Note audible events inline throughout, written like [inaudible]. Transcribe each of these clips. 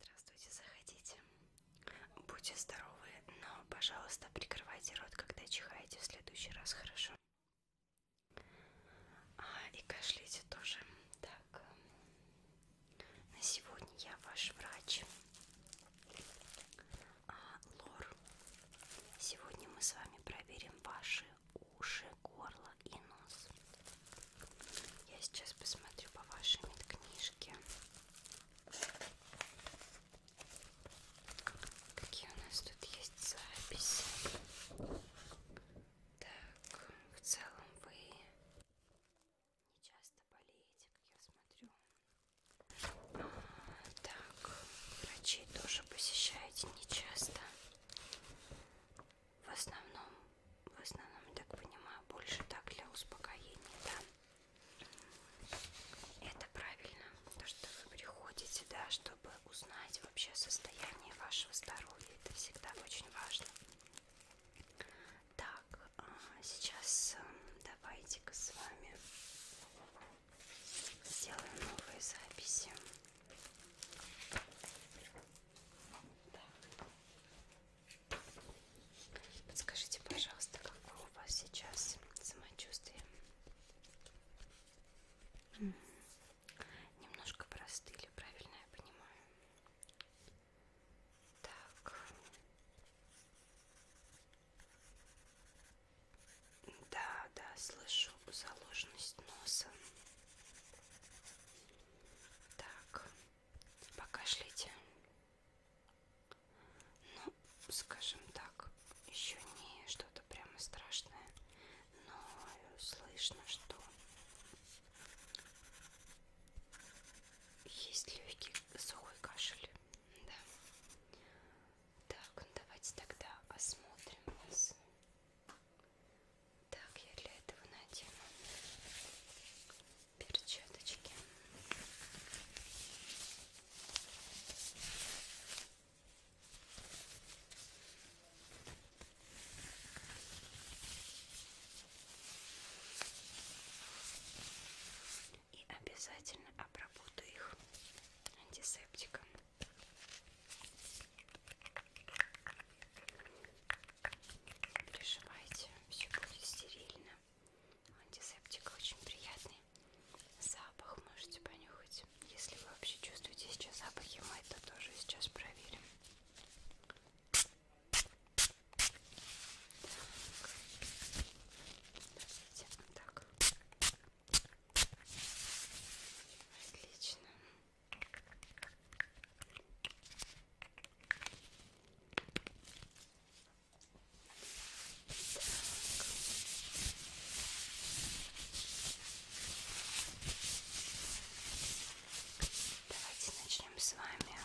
Здравствуйте, заходите. Будьте здоровы, но, пожалуйста, прикрывайте рот, когда чихаете в следующий раз, хорошо? А, и кашляйте тоже. Так, на сегодня я ваш врач. А, Лор, сегодня мы с вами проверим ваши уши, горло и нос. Я сейчас посмотрю по вашей медкнижке. Какие у нас тут есть записи? Так, в целом вы не часто болеете, как я смотрю. А, так, врачи тоже посещаете не часто в основном, в основном, я так понимаю, больше так для успокоения, да. Это правильно, то, что вы приходите, да, чтобы узнать вообще состояние вашего здоровья, это всегда очень важно. Так, а, сейчас эм, давайте-ка с вами сделаем новые записи. Да. Подскажите, пожалуйста, какое у вас сейчас самочувствие? М -м -м. Немножко простыли, правильно я понимаю? Так. Да, да, слышу заложенность носа. Так, покашлите. Ну, скажем так, еще не что-то прямо страшное, но слышно, что есть легкий сухой кашель. Да. Так, давайте тогда осмотрим вас. Так, я для этого надену перчаточки. И обязательно обработаю их антисептиком. Прижимайте, все будет стерильно. Антисептик очень приятный. Запах можете понюхать. Если вы вообще чувствуете сейчас запахи, мы это тоже сейчас проверим. Так. Подождите, вот так. Отлично. Давайте начнем с вами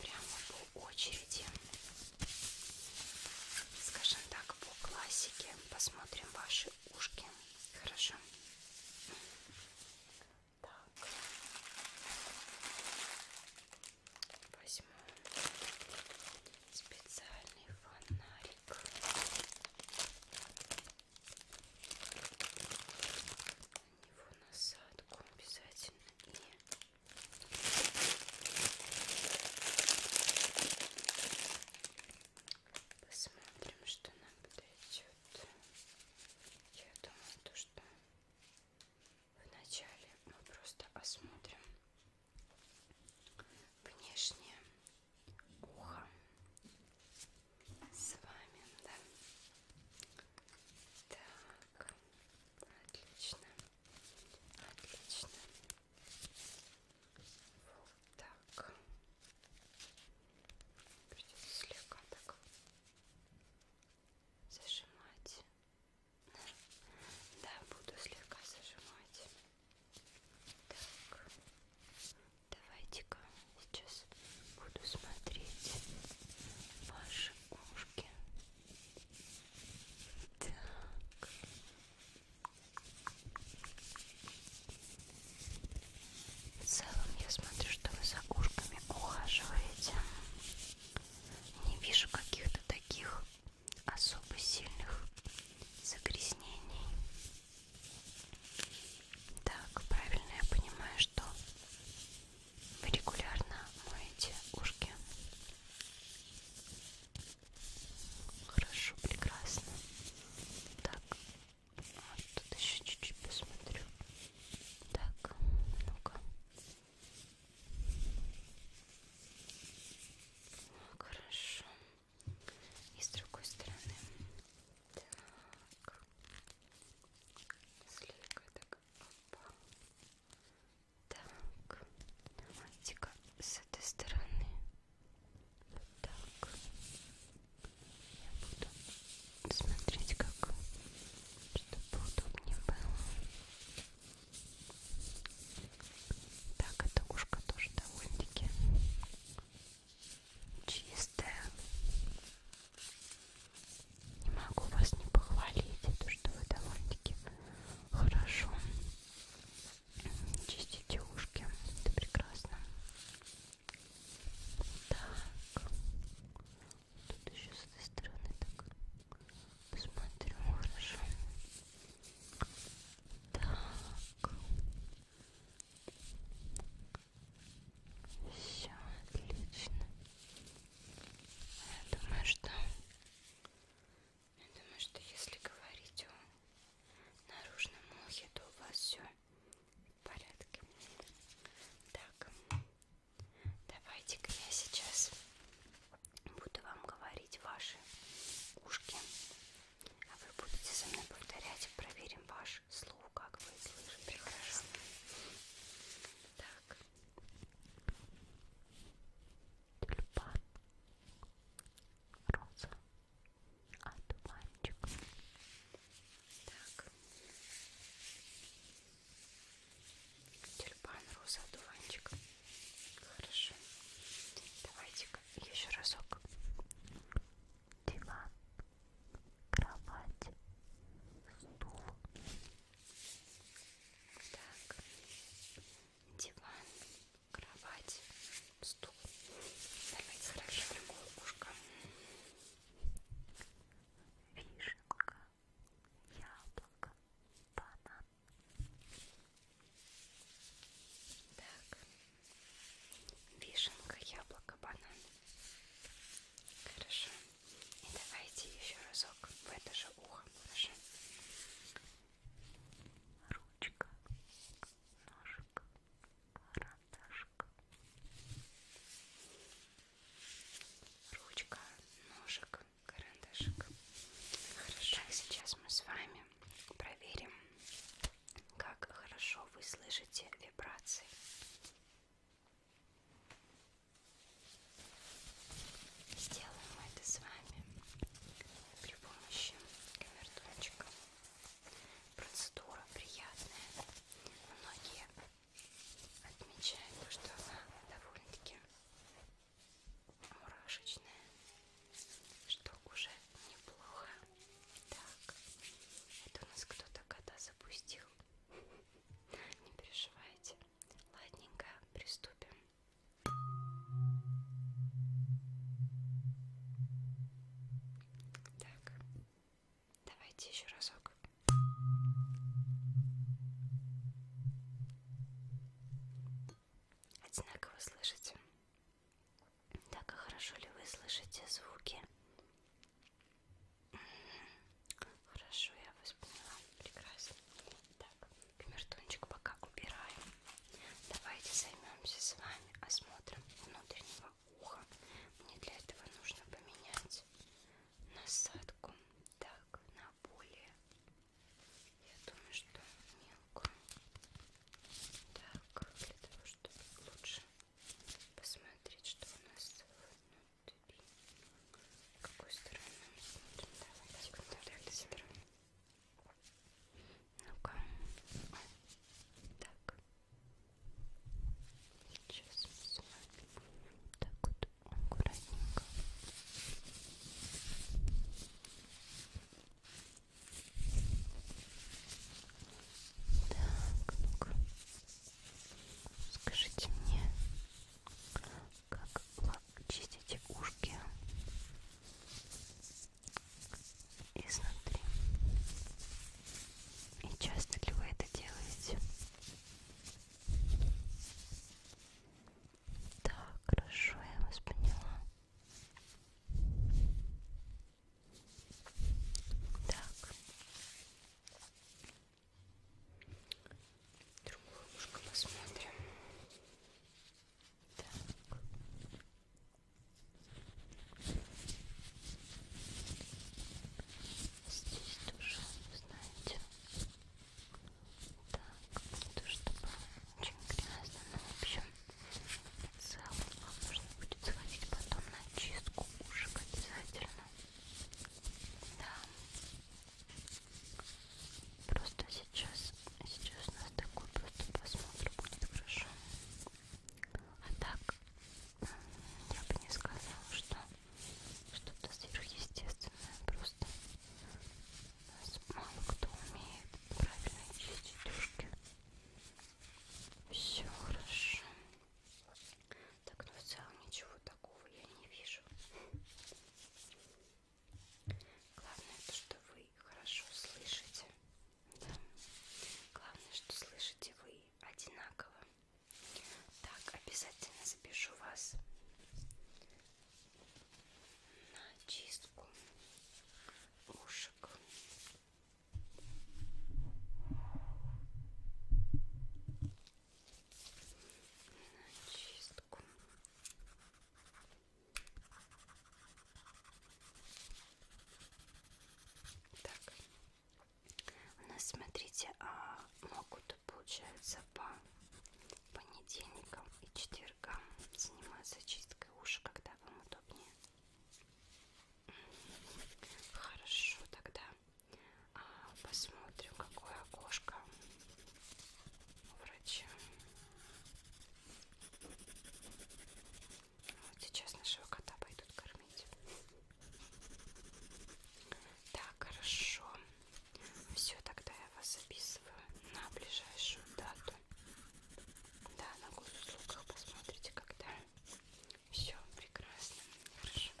прямо по очереди, скажем так, по классике. Посмотрим ваши ушки. Хорошо. Так. Возьму специальный фонарик. На него насадку обязательно и посмотрим, что нам будет еще идет. Я думаю, то, что вначале мы просто осмотрим внешнее ухо с вами, да? Так, отлично, отлично. Вот. Так. Придется слегка так зажимать. Да, буду слегка зажимать. Так. Давайте-ка сейчас буду смотреть ваши ушки. Так. В целом я смотрю, что вы за ушками ухаживаете. Не вижу каких-то таких особо сильных загрязнений. Так, правильно я понимаю, что вы регулярно моете ушки. Хорошо, прекрасно. Так, вот тут еще чуть-чуть посмотрю. Так, ну-ка. Хорошо. И с другой стороны. Так. Слегка так. Опа. Так. Давайте-ка с этой стороны. Так, я буду смотреть, как, чтобы поудобнее было. Так, эта ушка тоже довольно-таки чистая. Не могу вас не похвалить, то что вы довольно-таки хорошо чистите ушки, это прекрасно. Так. Тут еще с этой стороны так посмотрим хорошо. Так. Все отлично. Я думаю, что я думаю, что если говорить о наружном ухе, то у вас все в порядке. Так, давайте-ка я сейчас буду вам говорить ваши ушки, а вы будете со мной повторять. Проверим ваш слух, как вы слышите. Прекрасно. Так. Тюльпан, роза, а туманчик. Так. Тюльпан, роза, дуванчик. Хорошо. Давайте-ка еще разок. Диван, кровать, стул. Так. Диван, кровать, стул. Давайте расширим колбушка. Вишенка, яблоко, банан. Так, вишенка, яблоко, банан. Хорошо. И давайте еще разок в это же ухо. Хорошо. Ручка, ножик, карандаш, ножик, ручка, ножик, карандашик. Хорошо, так, сейчас мы с вами проверим, как хорошо вы слышите вибрации. Сделаем это с вами при помощи камертончика процедура приятная. Многие отмечают то, что она довольно-таки мурашечная, что уже неплохо. Так, это у нас кто-то кота запустил. Не переживайте. Ладненько, приступим. Да, так. Давайте еще разок. Одинаково слышите? Так, а хорошо ли вы слышите звуки? Хорошо, я вас поняла. Прекрасно. Так, камертончик пока убираем. Давайте займемся с вами осмотром внутреннего ухо. Мне для этого нужно поменять насадку так на более. Я думаю, что мелкую. Так, для того, чтобы лучше посмотреть, что у нас внутри. Какой стороны мы смотрим? Давайте контролируем. Ну-ка. Так. Сейчас с вами будем так вот аккуратненько. Так, ну-ка. Скажите мне, как чистите ушки? изнутри. И часто ли вы это делаете? Так, хорошо, я вас поняла. Так. Другое ушко посмотрим. Так. Здесь тоже, знаете, так, не то чтобы очень грязно, но в общем, в целом вам нужно будет сходить потом на чистку ушек обязательно. Да. Просто сейчас, сейчас у нас такой просто посмотр будет хорошо. А так я бы не сказала, что что-то сверхъестественное. Просто у нас мало кто умеет правильно чистить ушки. Все хорошо. Так, ну в целом ничего такого я не вижу. Главное то, что вы хорошо слышите. Да. Главное, что слышите вы одинаково. Так, обязательно запишу вас на чистку ушек. На чистку так, у нас, смотрите, а могут, получается, по понедельникам и четвергам заниматься чисткой уши, когда вам удобнее. Хорошо, тогда а, посмотрим, какое окошко у врача. Вот сейчас нашего кота пойдут кормить. Так, хорошо. Все, тогда я вас записываю на ближайшую дату. Да, на госуслугах посмотрите, когда. Все прекрасно. Хорошо.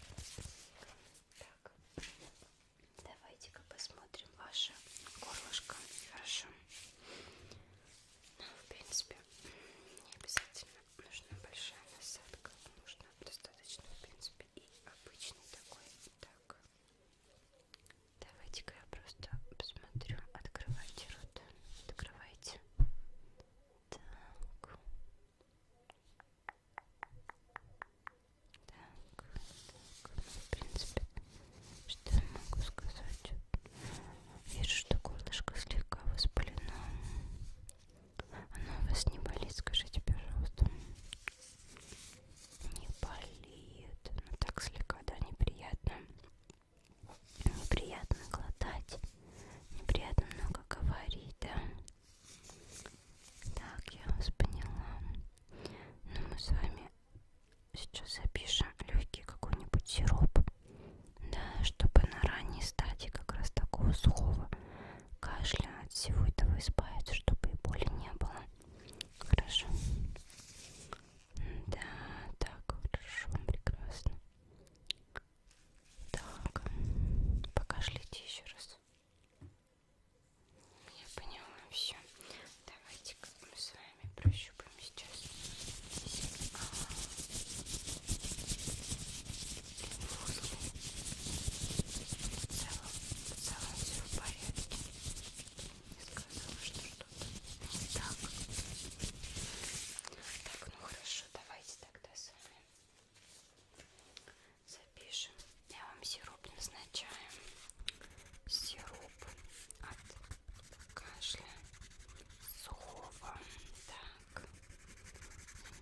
Так, давайте-ка посмотрим ваше горлышко. Хорошо. Но, в принципе, не обязательно нужна большая насадка. Нужно достаточно, в принципе, и обычный такой. Так, давайте-ка я просто посмотрю. Открывайте рот. Открывайте. Так. Так, так, ну, в принципе, что я могу сказать? Вижу, что горлышко слегка воспалено. Оно у вас не болит, скажите, пожалуйста. Не болит. Ну так слегка, да, неприятно. Неприятно глотать. Неприятно много говорить, да. Так, я вас поняла. Но ну, мы с вами Сейчас запишем легкий какой-нибудь сироп, да, чтобы на ранней стадии как раз такого сухого кашля от всего этого избавиться, чтобы и боли не было. Хорошо. Да, так, хорошо, прекрасно. Так, покашлите еще раз. Я поняла все. Давайте-ка мы с вами вами прощупаем сейчас сигнал лимфузлы. В целом, в целом все в порядке. Я сказала, что что-то не так. Так, ну хорошо, давайте тогда с вами запишем. Я вам сироп назначаю. Сироп от кашля сухого. Так,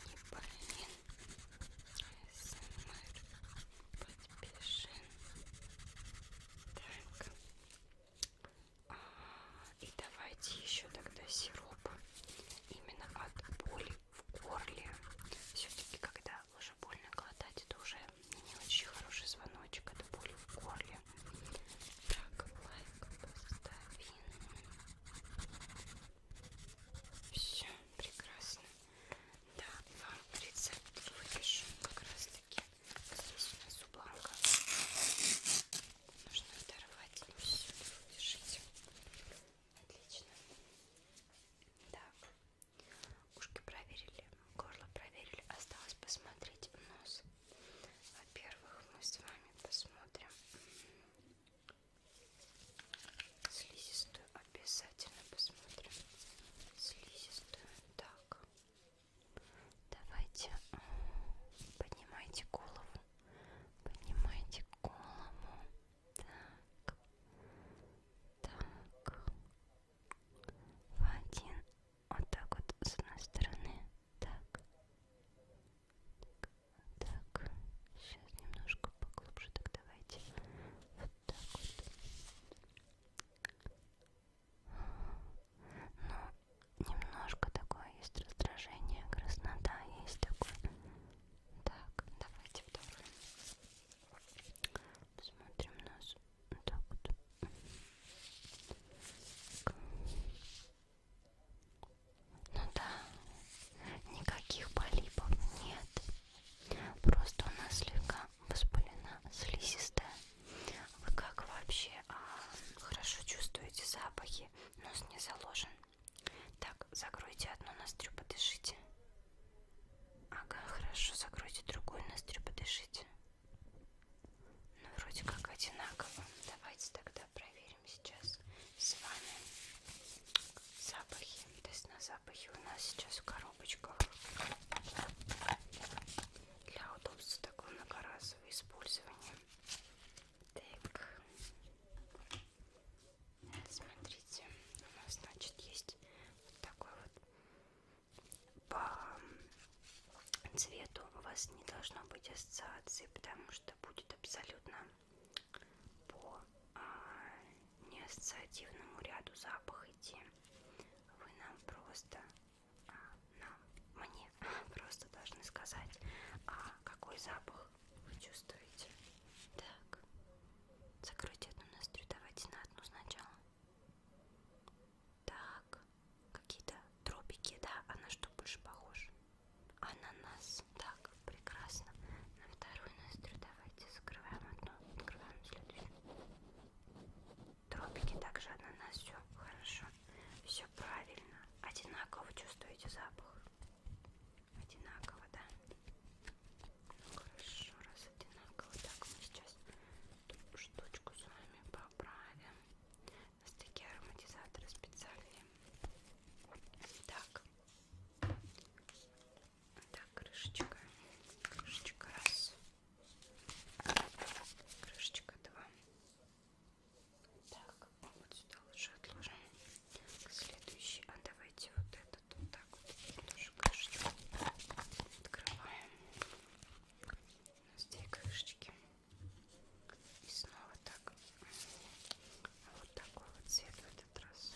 не болен. СМР. Подпиши. Так. А, и давайте еще тогда сироп. Именно от боли в горле. Все-таки, когда уже больно глотать, это уже не очень хороший звоночек от боли в горле тебе. Так, лайк постави. Все, прекрасно. Да, вам рецепт выпишу как раз таки. Здесь у нас у бланка. Нужно оторвать. Все, держите. Отлично. Так, ушки проверили, горло проверили. Осталось посмотреть нос. Во-первых, мы с вами посмотрим слизистую. Обязательно посмотрим слизистую. Так, давайте поднимайте голову. Поднимайте голову. Так, так. В один вот так вот с одной стороны, так, так, так. сейчас немножко поглубже, так давайте вот так вот. Ну, немножко такое есть раздражение, краснота есть такое. Так, давайте второй. Посмотрим нас. Вот так вот. Так. Ну да, никаких полипов нет. Просто у нас слегка воспалена слизистая. Вы как вообще а, хорошо чувствуете запахи? Нос не заложен. Так, закройте одну ноздрю, подышите. Ага, хорошо, закройте другую ноздрю, подышите. Ну, вроде как одинаково. Давайте тогда проверим сейчас с вами запахи. Тест на запахи у нас сейчас в коробочках. Для удобства такого многоразового использования. Так. Смотрите, у нас, значит, есть вот такой вот по цвету у вас не должно быть ассоциации, потому что будет абсолютно по а, неассоциативному ряду запах идти. Вы нам просто, а, нам, мне [laughs] просто должны сказать, а какой запах вы чувствуете. Так, закройте одну ноздрю, давайте на одну сначала. Так, какие-то тропики, да? А на что больше похож? Ананас. Так, прекрасно. На вторую ноздрю давайте закрываем одну, открываем следующую. Тропики также ананас, все хорошо. Все правильно. Одинаково чувствуете запах? Одинаково, да? Ну, хорошо, раз одинаково. Так, мы сейчас эту штучку с вами по праве. У нас такие ароматизаторы специальные. Так. Так, крышечка. Крышечка раз. Крышечка два. Так, вот сюда лучше отложим. Следующий. А давайте вот этот вот так вот. Тоже крышечку открываем две крышечки и снова так вот такой вот цвет в этот раз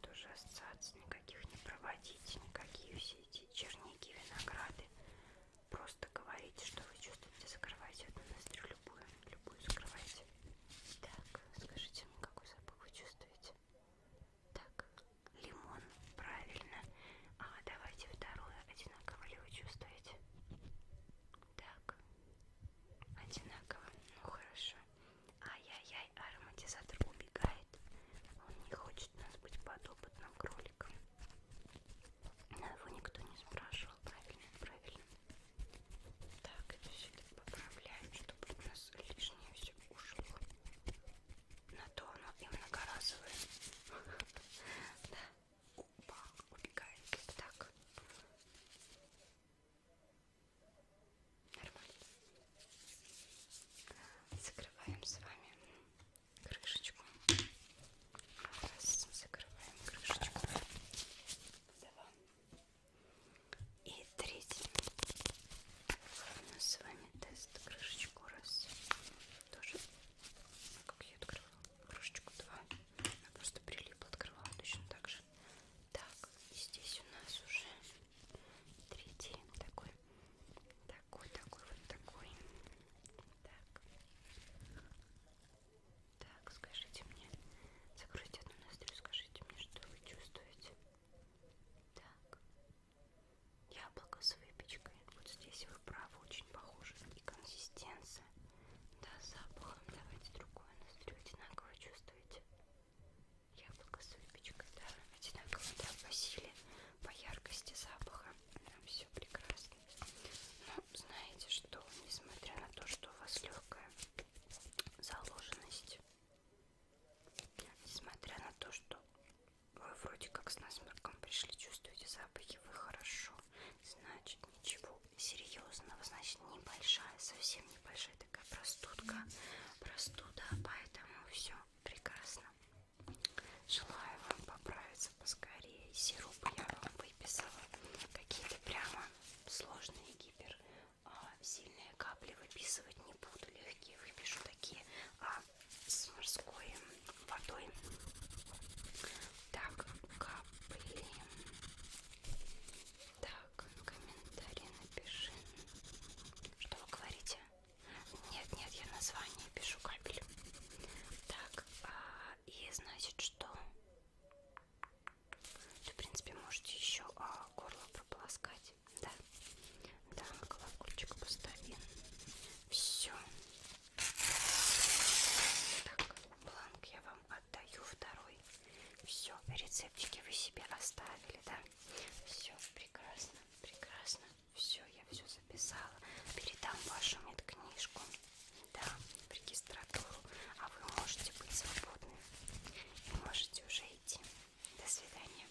тоже ассоциации никаких не проводите никакие все эти черники винограды просто говорите что вы чувствуете закрывайте одну ноздрю любую любую закрывайте так скажите мне какой запах вы чувствуете так, лимон, правильно. А давайте вторую одинаково ли вы чувствуете? Так, одинаково. Ну хорошо. Ай-яй-яй, ароматизатор убегает. Он не хочет нас быть подопытным кроликом. Но его никто не спрашивал, правильно, правильно. Так, это все поправляем, чтобы у нас лишнее все ушло на то оно и многоразовое. [laughs] Да. Опа, убегает. Так. Нормально. Закрываем с вами крышечку. Раз, закрываем крышечку. Два. И третий. У нас с вами тест крышечку раз. Тоже, как я открывала, крышечку два. Она просто прилипла, открывала точно так же. Так, и здесь у нас уже третий такой, такой, такой, вот такой. Так. Так, скажите мне, закройте одну ноздрю, скажите мне, что вы чувствуете. Так, Яблоко с выпечкой. Вот здесь вы правы, очень похоже. И консистенция. Да, запахом. Давайте другое настрою. Одинаково чувствуете? Яблоко с выпечкой, да. Одинаково, да, по силе, по яркости запаха. Нам все прекрасно. Но ну, знаете что, несмотря на то, что у вас легкая заложенность, несмотря на то, что вы вроде как с насморком пришли, чувствуете запахи, вы хорошо. Значит, ничего серьезного, значит, небольшая, совсем небольшая такая простудка, простуда, поэтому все прекрасно. Желаю вам поправиться поскорее. Сироп я вам выписала. Какие-то прямо сложные гипер. А сильные капли выписывать не буду. Легкие выпишу такие а, с морской водой. Так, капли. Так, комментарий напиши. Что вы говорите? Нет, нет, я название пишу капель. Так, а, и значит, что... То, в принципе, можете еще а, горло прополоскать здесь. Да. Да, колокольчик поставим. Все. Так, бланк я вам отдаю второй. Все, рецептики вы себе оставили, да? Все, прекрасно, прекрасно. Все, я все записала. Передам вашу медкнижку, да, в регистратуру. А вы можете быть свободны и можете уже идти. До свидания.